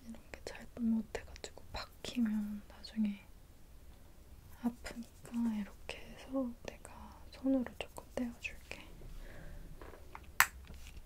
이렇게 잘도 못해가지고 박히면 나중에 아프니까 이렇게 해서 내가 손으로 조금 떼어줄게.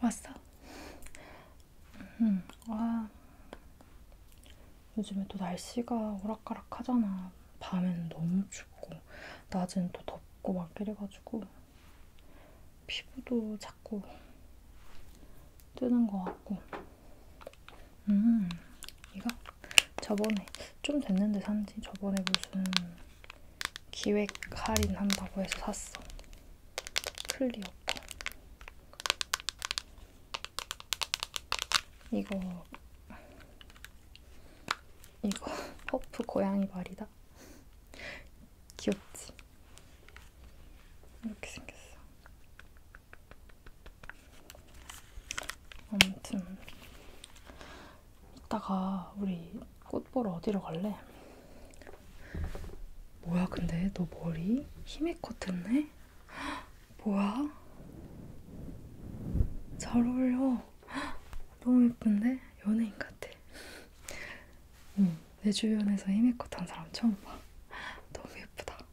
왔어? 음, 와. 요즘에 또 날씨가 오락가락 하잖아. 밤에는 너무 춥고, 낮엔 또 덥고 막 이래가지고, 피부도 자꾸 뜨는 것 같고. 음, 이거 저번에 좀 됐는데 산지 저번에 무슨 기획 할인 한다고 해서 샀어. 클리어 거. 이거 이거 퍼프 고양이 말이다. 귀엽지? 이렇게 생겼어. 아무튼 이따가 우리 꽃 보러 어디로 갈래? 뭐야 근데 너 머리 히메코 뜯네? 뭐야? 잘 어울려 너무 예쁜데? 연예인 같아 응, 내 주변에서 히메코 탄 사람 처음 봐 너무 예쁘다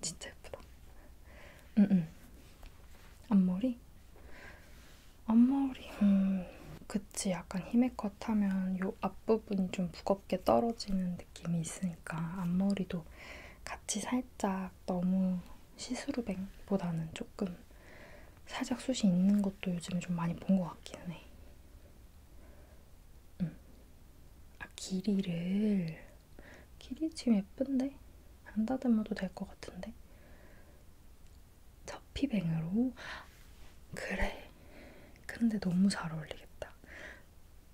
진짜 예쁘다. 응응. 음, 음. 앞머리? 앞머리. 음. 그치 약간 힘의 컷 하면 요 앞부분이 좀 무겁게 떨어지는 느낌이 있으니까 앞머리도 같이 살짝 너무 시스루뱅보다는 조금 살짝 숱이 있는 것도 요즘에 좀 많이 본 것 같기는 해. 음. 아 길이를 길이 지금 예쁜데? 안 다듬어도 될 것 같은데? 저피뱅으로? 그래. 근데 너무 잘 어울리겠다.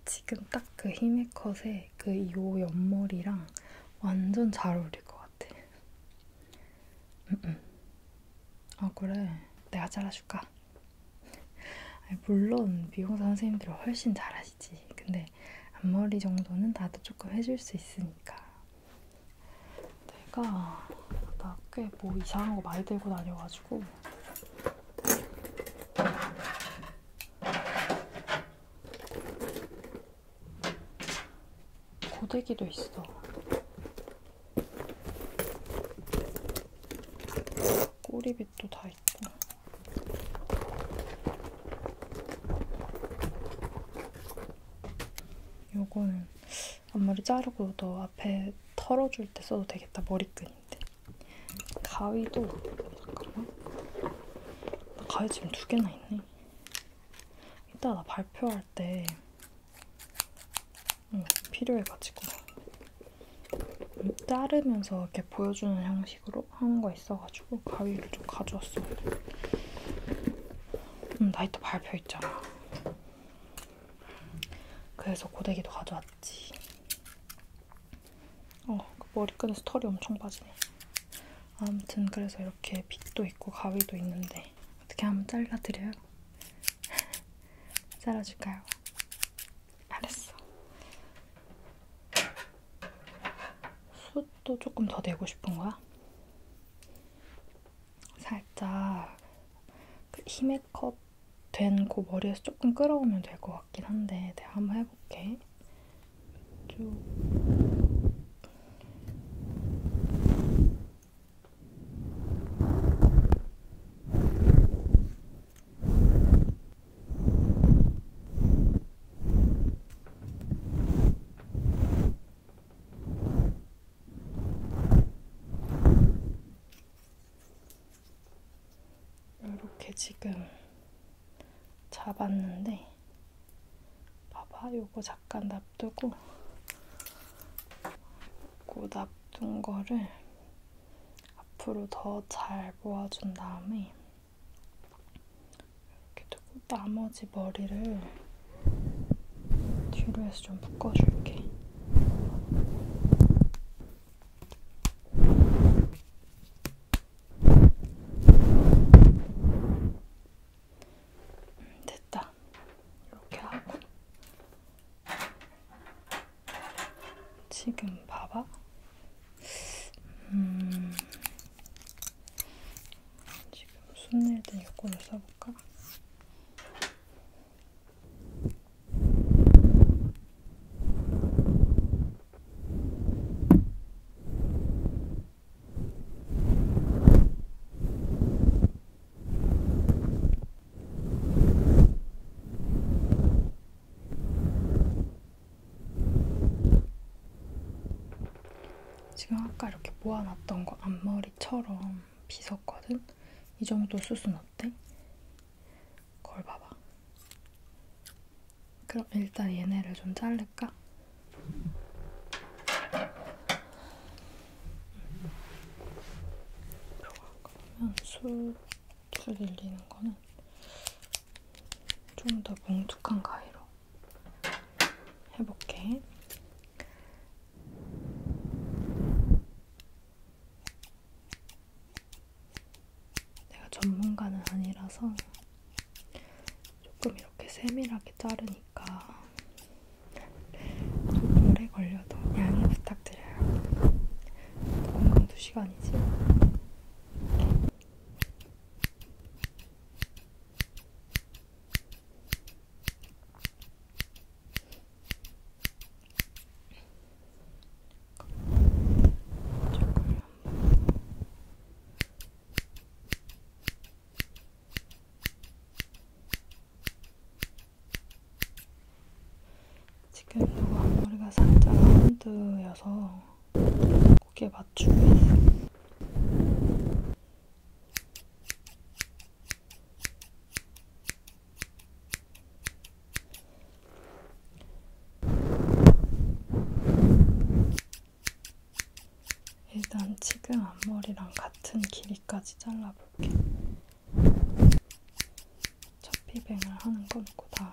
지금 딱그 힘의 컷에 그 이 옆머리랑 완전 잘 어울릴 것 같아. 음, 음. 아 그래. 내가 잘라줄까? 물론 미용사 선생님들이 훨씬 잘하시 아시지? 근데 앞머리 정도는 나도 조금 해줄 수 있으니까. 내가 나 꽤 뭐 이상한 거 많이 들고 다녀가지고. 고데기도 있어. 꼬리빗 또다 있고. 요거는 앞머리 자르고 너 앞에 털어줄 때 써도 되겠다 머리끈인데 가위도 잠깐만 나 가위 지금 두 개나 있네 이따 나 발표할 때 응, 필요해가지고 자르면서 이렇게 보여주는 식으로 하는 거 있어가지고 가위를 좀 가져왔어요. 음, 나이트 발표 있잖아. 그래서 고데기도 가져왔지. 어, 그 머리끈에서 털이 엄청 빠지네. 아무튼 그래서 이렇게 빗도 있고 가위도 있는데 어떻게 한번 잘라드려요? 잘라줄까요? 알았어. 숱도 조금 더 내고 싶은 거야? 살짝 그 힘의 컷된 그 머리에서 조금 끌어오면 될 것 같긴 한데 내가 한번 해볼게. 쭉. 이렇게 지금 잡았는데 봐봐 요거 잠깐 놔두고 그 놔둔 거를 앞으로 더 잘 모아준 다음에 이렇게 두고 나머지 머리를 뒤로 해서 좀 묶어줄게. 됐다. 이렇게 하고 지금 봐봐. 음, 지금 손낼 때 요거를 써볼까? 음, 지금 아까 이렇게 모아놨던 거 앞머리처럼 빗었거든? 이 정도 수순 어때? 걸 봐봐. 그럼 일단 얘네를 좀 자를까? 그러면 술, 술 늘리는 거는 좀더 뭉툭한 가위로 해볼게. 내가 전문가는 아니라서 조금 이렇게 세밀하게 자르니까 좀 오래 걸려도 양해 부탁드려요. 공간 2시간이지? 이렇게. 지금 이거 앞머리가 살짝 라운드여서 거기에 맞추고 일단 지금 앞머리랑 같은 길이까지 잘라볼게. 첫 피뱅을 하는 건 그 다음에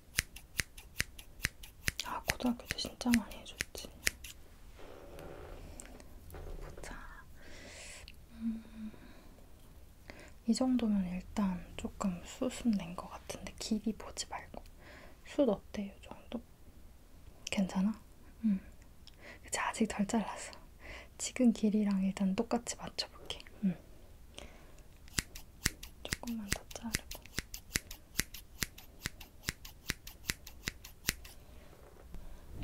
아 고등학교 때 진짜 많이 해줬지. 보자. 음, 이 정도면 일단 조금 수순낸 것 같은데 길이 보지 말고 숱 어때? 요 정도? 괜찮아? 응. 음. 그치 아직 덜 잘랐어. 지금 길이랑 일단 똑같이 맞춰볼게. 응. 음. 조금만 더 자르고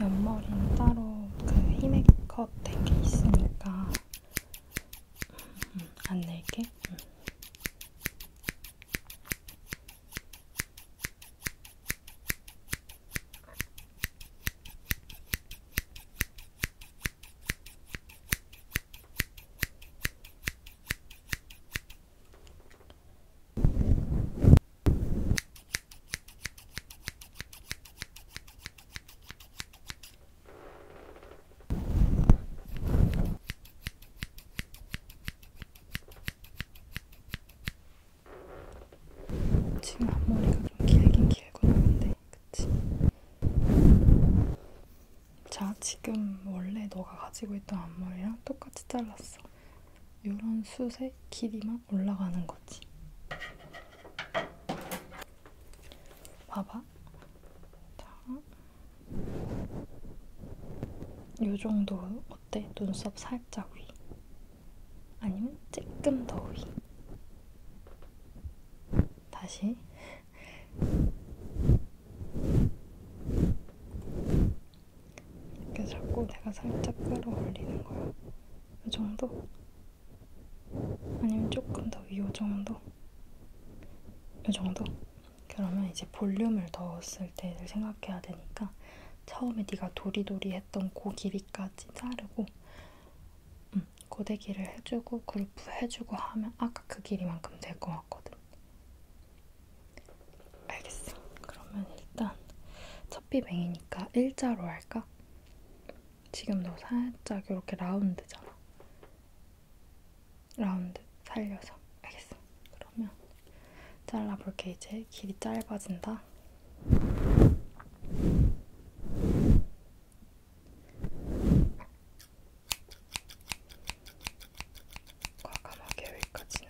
옆머리는 따로 그 히메컷 된 게 있으니까 음, 음, 안 낼게. 음. 지금 앞머리가 좀 길긴 길고 나는데 돼. 그치? 자, 지금 원래 너가 가지고 있던 앞머리랑 똑같이 잘랐어. 요런 숱의 길이만 올라가는 거지. 봐봐. 자. 요 정도 어때? 눈썹 살짝 위. 아니면 조금 더 위. 다시. 이렇게 자꾸 내가 살짝 끌어올리는 거야. 이 정도? 아니면 조금 더 이 정도? 이 정도? 그러면 이제 볼륨을 넣었을 때를 생각해야 되니까 처음에 네가 도리도리 했던 그 길이까지 자르고 음, 고데기를 해주고 그루프 해주고 하면 아까 그 길이만큼 될 것 같거든. 알겠어. 그러면 일단 첫비뱅이니까 일자로 할까? 지금도 살짝 이렇게 라운드잖아. 라운드 살려서. 알겠어. 그러면 잘라볼게. 이제 길이 짧아진다. 과감하게 여기까지는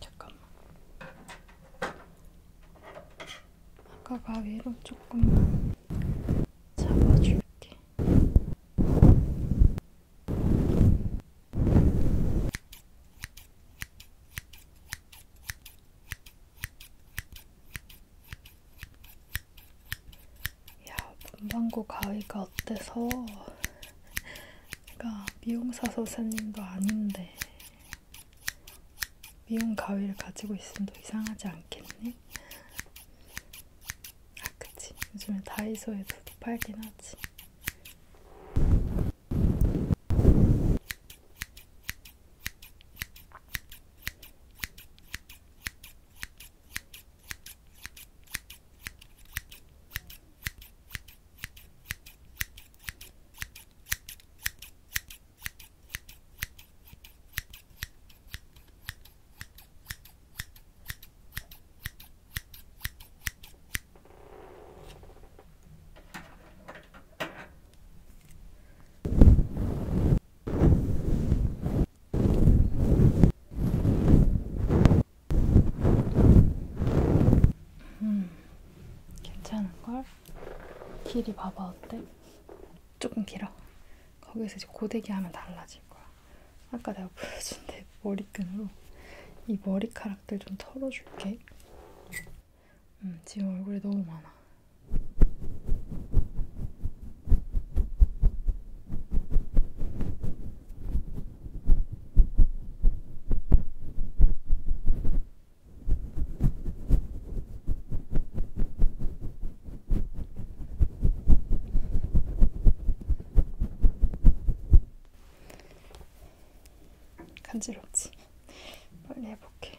잠깐만. 아까 가위로 조금만 잡아줄게. 야, 문방구 가위가 어때서? 내가 미용사 선생님도 아닌데 미용 가위를 가지고 있으면 더 이상하지 않겠니? 아 그치 요즘엔 다이소에서도 팔긴 하지 음, 괜찮은걸? 길이 봐봐 어때? 조금 길어. 거기서 이제 고데기 하면 달라질 거야. 아까 내가 보여준 내 머리끈으로 이 머리카락들 좀 털어줄게. 음, 지금 얼굴에 너무 많아. 음, 간지럽지? 빨리 해볼게.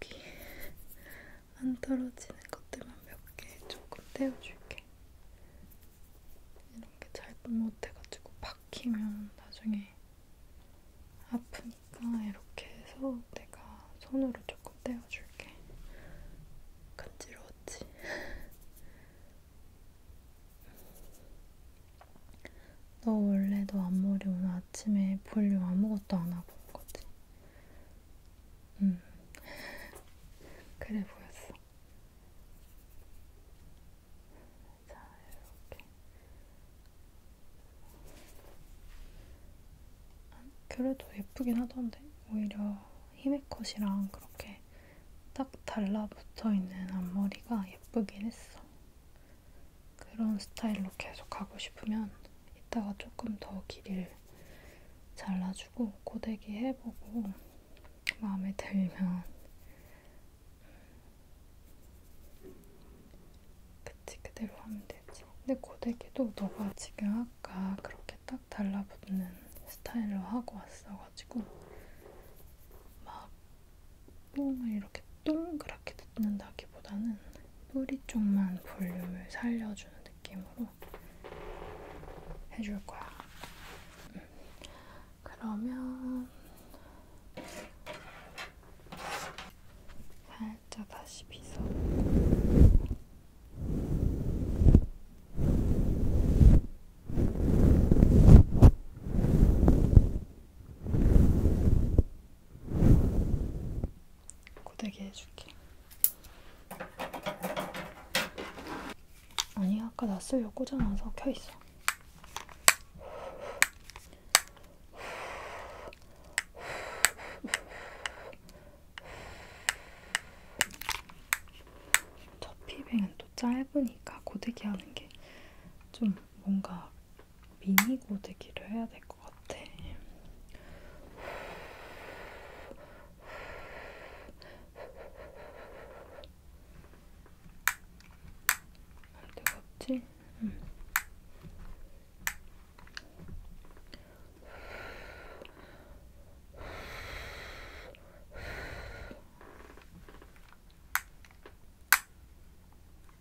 귀에 안 떨어지는 것들만 몇 개 조금 떼어줄게. 이런 게 잘못 못해가지고 박히면 나중에 아프니까 이렇게 해서 내가 손으로 조금 떼어줄게. 간지러웠지? 너 원래 너 앞머리 오늘 아침에 볼륨 아무것도 안 하고 온 거지? 응. 그래 보였어. 자, 이렇게. 그래도 예쁘긴 하던데? 오히려 히메 컷이랑 그렇게 딱 달라붙어 있는 앞머리가 예쁘긴 했어. 그런 스타일로 계속 가고 싶으면 이따가 조금 더 길이를 잘라주고 고데기 해보고 마음에 들면 그치 그대로 하면 되지 근데 고데기도 너가 지금 아까 그렇게 딱 달라붙는 스타일로 하고 왔어가지고 막 뽕을 이렇게 동그랗게 넣는다기보다는 뿌리 쪽만 볼륨을 살려주는 느낌으로 해줄 거야. 음. 그러면 살짝 다시 빗어. 음. 고데기 해줄게. 아니 아까 나 쓰려 꽂아놔서 켜있어. 저 피뱅은 또 짧으니까 고데기 하는 게 좀 뭔가 미니 고데기를 해야 될 것 같아. 뜨겁지? 응. 음.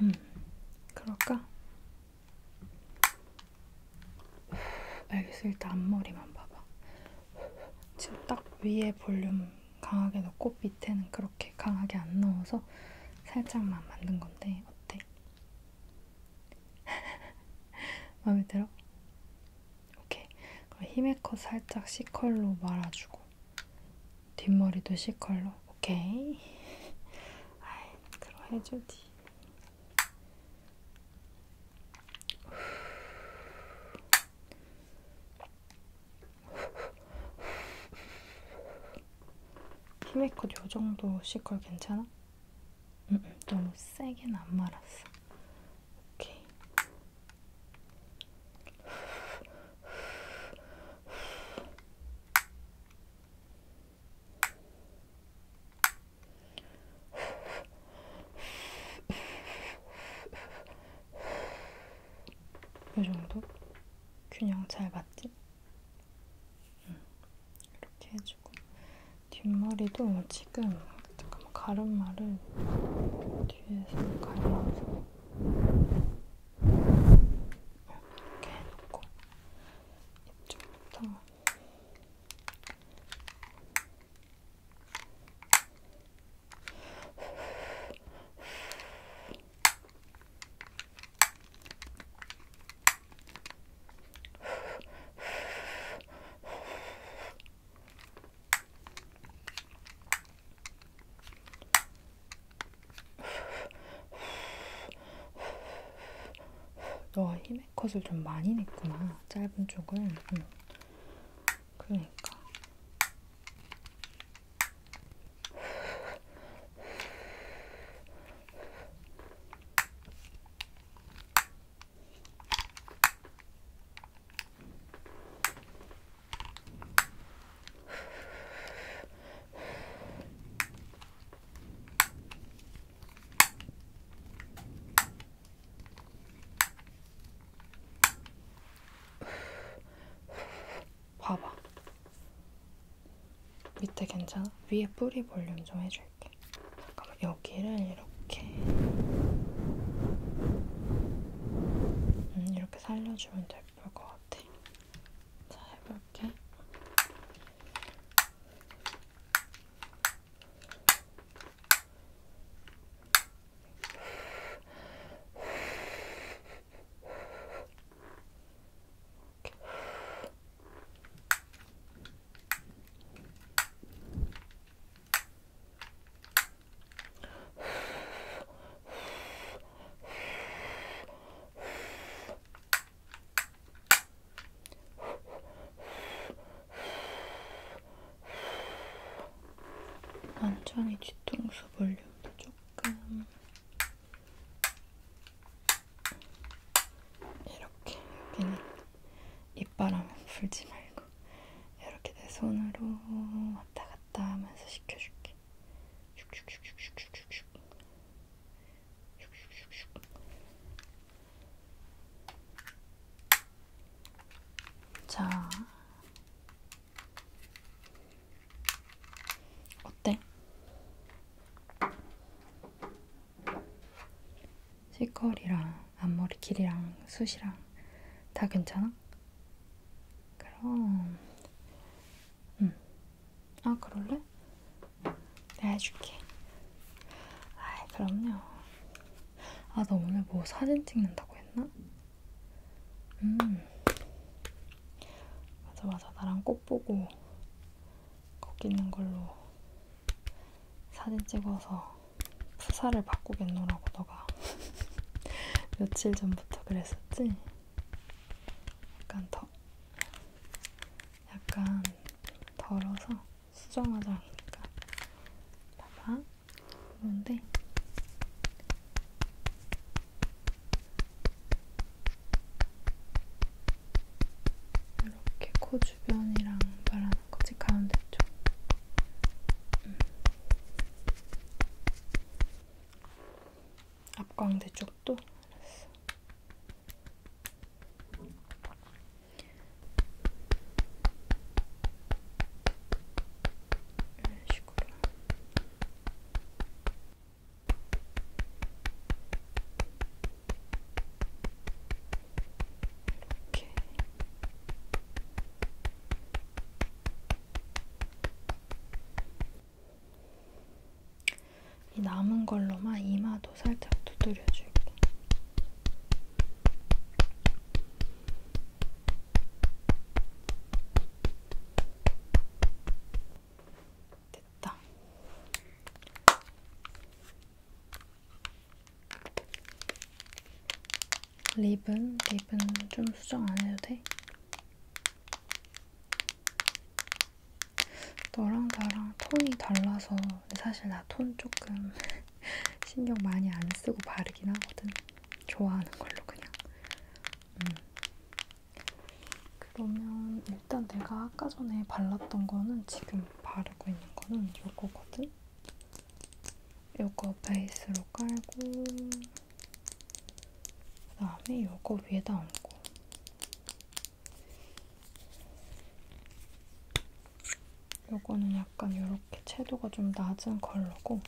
음, 그럴까? 알겠어. 일단 앞머리만 봐봐. 지금 딱 위에 볼륨 강하게 넣고 밑에는 그렇게 강하게 안 넣어서 살짝만 만든 건데 어때? 마음에 들어? 오케이. 그럼 힘의 컷 살짝 C컬로 말아주고 뒷머리도 C컬로. 오케이. 아이, 그럼 해주지. 힘의 컷 요정도 C컬 괜찮아? 음, 음, 너무 세게는 안 말았어. 오케이. 이 정도? 균형 잘 맞지? 응. 이렇게 해주고 뒷머리도 지금 잠깐만 가름마를 뒤에서 갈라서 이렇게 해놓고 이쪽부터 너가 어, 힘의 컷을 좀 많이 냈구나. 짧은 쪽은. 응. 음. 그러니까. 봐봐. 밑에 괜찮아? 위에 뿌리 볼륨 좀 해줄게. 잠깐만 여기를 이렇게 음, 이렇게 살려주면 더 예쁠 것 같아. 자, 해볼게. 이렇게. 완전히 뒤통수 볼륨도 조금 이렇게 여기는 입바람 불지 말고 이렇게 내 손으로 왔다 갔다 하면서 시켜줄게. 슉슉슉슉슉슉슉. 슉슉슉슉. 자, 어때? 실컬이랑 앞머리 길이랑 숱이랑 다 괜찮아? 그럼 응. 음. 아 그럴래? 내가 해줄게. 아 그럼요. 아 너 오늘 뭐 사진 찍는다고 했나? 음. 맞아 맞아 나랑 꽃 보고 거기 있는 걸로 사진 찍어서 수사를 바꾸겠노라고 너가 며칠 전부터 그랬었지? 약간 더 약간 덜어서 수정화장이니까 봐봐 그런데 이렇게 코 주변이랑 말하는 거지 가운데 쪽 음. 앞광대 쪽도 알았어. 이런 식으로. 이렇게. 이 남은 걸로만 이마도 살짝 두드려줄게. 됐다. 립은? 립은 좀 수정 안 해도 돼? 너랑 나랑 톤이 달라서 사실 나 톤 조금 신경 많이 안 쓰고 바르긴 하거든. 좋아하는 걸로 그냥. 음. 그러면 일단 내가 아까 전에 발랐던 거는 지금 바르고 있는 거는 요거거든. 요거 베이스로 깔고 그 다음에 요거 위에다 얹고 요거는 약간 요렇게 채도가 좀 낮은 컬러고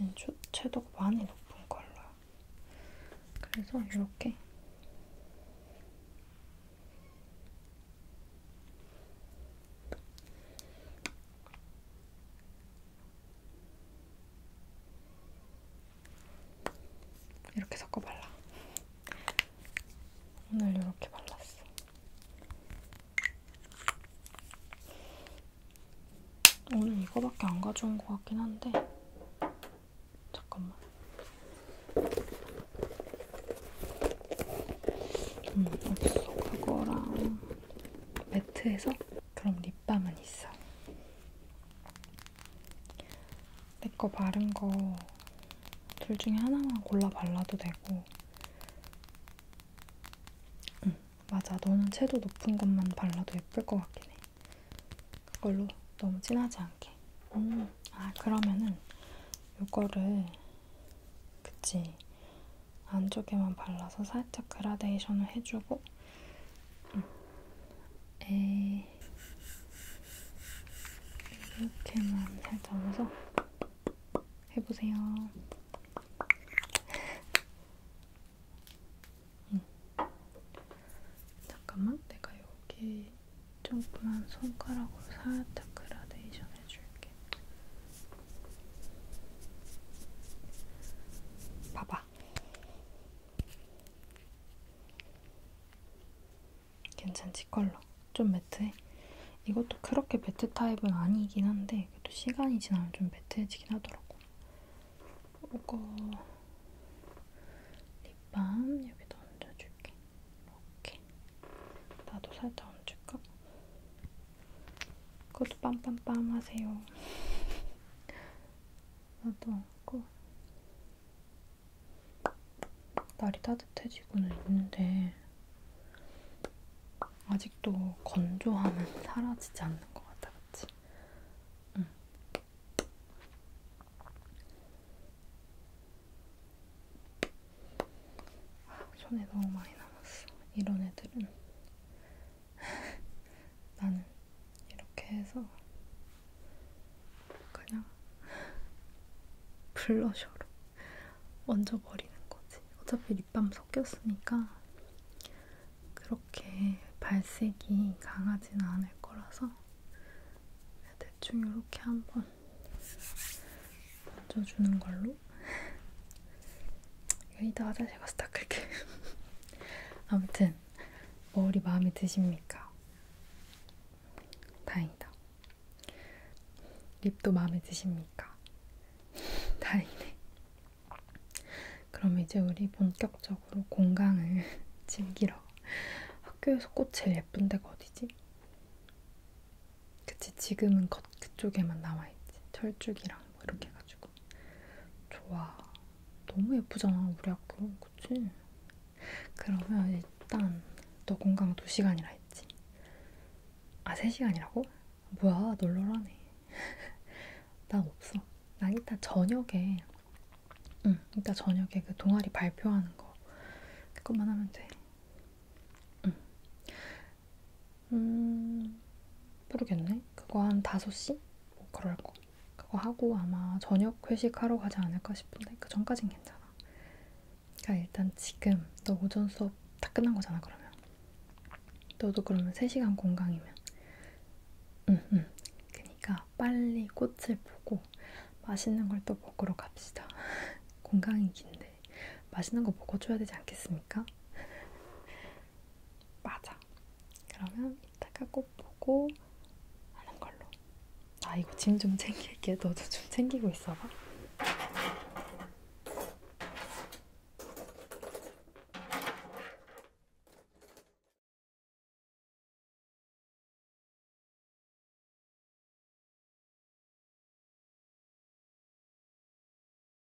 얘는 채도가 많이 높은 컬러야 그래서 이렇게 이렇게 섞어 발라. 오늘 이렇게 발랐어. 오늘 이거밖에 안 가져온 것 같긴 한데 잠깐만. 음, 없어. 그거랑 매트에서 그럼 립밤은 있어. 내 거 바른 거 둘 중에 하나만 골라 발라도 되고 응, 맞아. 너는 채도 높은 것만 발라도 예쁠 것 같긴 해. 그걸로 너무 진하지 않게. 음, 아 그러면은 요거를 그치? 안쪽에만 발라서 살짝 그라데이션을 해주고 음. 에이. 이렇게만 살짝 해서 해보세요. 음. 잠깐만, 내가 여기 조금만 손가락으로 살짝 그라데이션 해줄게. 이렇게. 봐봐. 괜찮지 컬러. 좀 매트해. 이것도 그렇게 매트 타입은 아니긴 한데 그래도 시간이 지나면 좀 매트해지긴 하더라고. 이거 립밤 여기다 얹어줄게. 이렇게. 나도 살짝 얹을까? 그것도 빰빰빰 하세요. 나도 안고 날이 따뜻해지고는 있는데 아직도 건조함은 사라지지 않는 것 같아, 그치? 응. 아, 손에 너무 많이 남았어. 이런 애들은 나는 이렇게 해서 그냥 블러셔로 얹어버리는 거지. 어차피 립밤 섞였으니까 그렇게 발색이 강하지는 않을 거라서 대충 이렇게 한번 얹어주는 걸로 이따 화장실 가서 닦을게. 아무튼 머리 마음에 드십니까? 다행이다. 립도 마음에 드십니까? 다행이네. 그럼 이제 우리 본격적으로 공강을 즐기러. 학교에서 꽃 제일 예쁜 데가 어디지? 그치 지금은 겉 그쪽에만 남아있지 철쭉이랑 뭐 이렇게 해가지고 좋아. 너무 예쁘잖아, 우리 학교. 그치? 그러면 일단 너 공강 2시간이라 했지. 아, 3시간이라고? 뭐야, 널널하네. 난 없어. 난 일단 저녁에, 응, 일단 저녁에 그 동아리 발표하는 거. 그것만 하면 돼. 응. 음, 모르겠네. 그거 한 5시? 뭐 그럴 거. 그거 하고 아마 저녁 회식하러 가지 않을까 싶은데 그 전까진 괜찮아. 그러니까 일단 지금 너 오전 수업 다 끝난 거잖아 그러면. 너도 그러면 3시간 공강이면. 응, 응. 그러니까 빨리 꽃을 보고 맛있는 걸 또 먹으러 갑시다. 공강이 긴데 맛있는 거 먹어줘야 되지 않겠습니까? 맞아. 그러면 이따가 꼭 보고 하는 걸로. 아, 이거 짐 좀 챙길게. 너도 좀 챙기고 있어봐.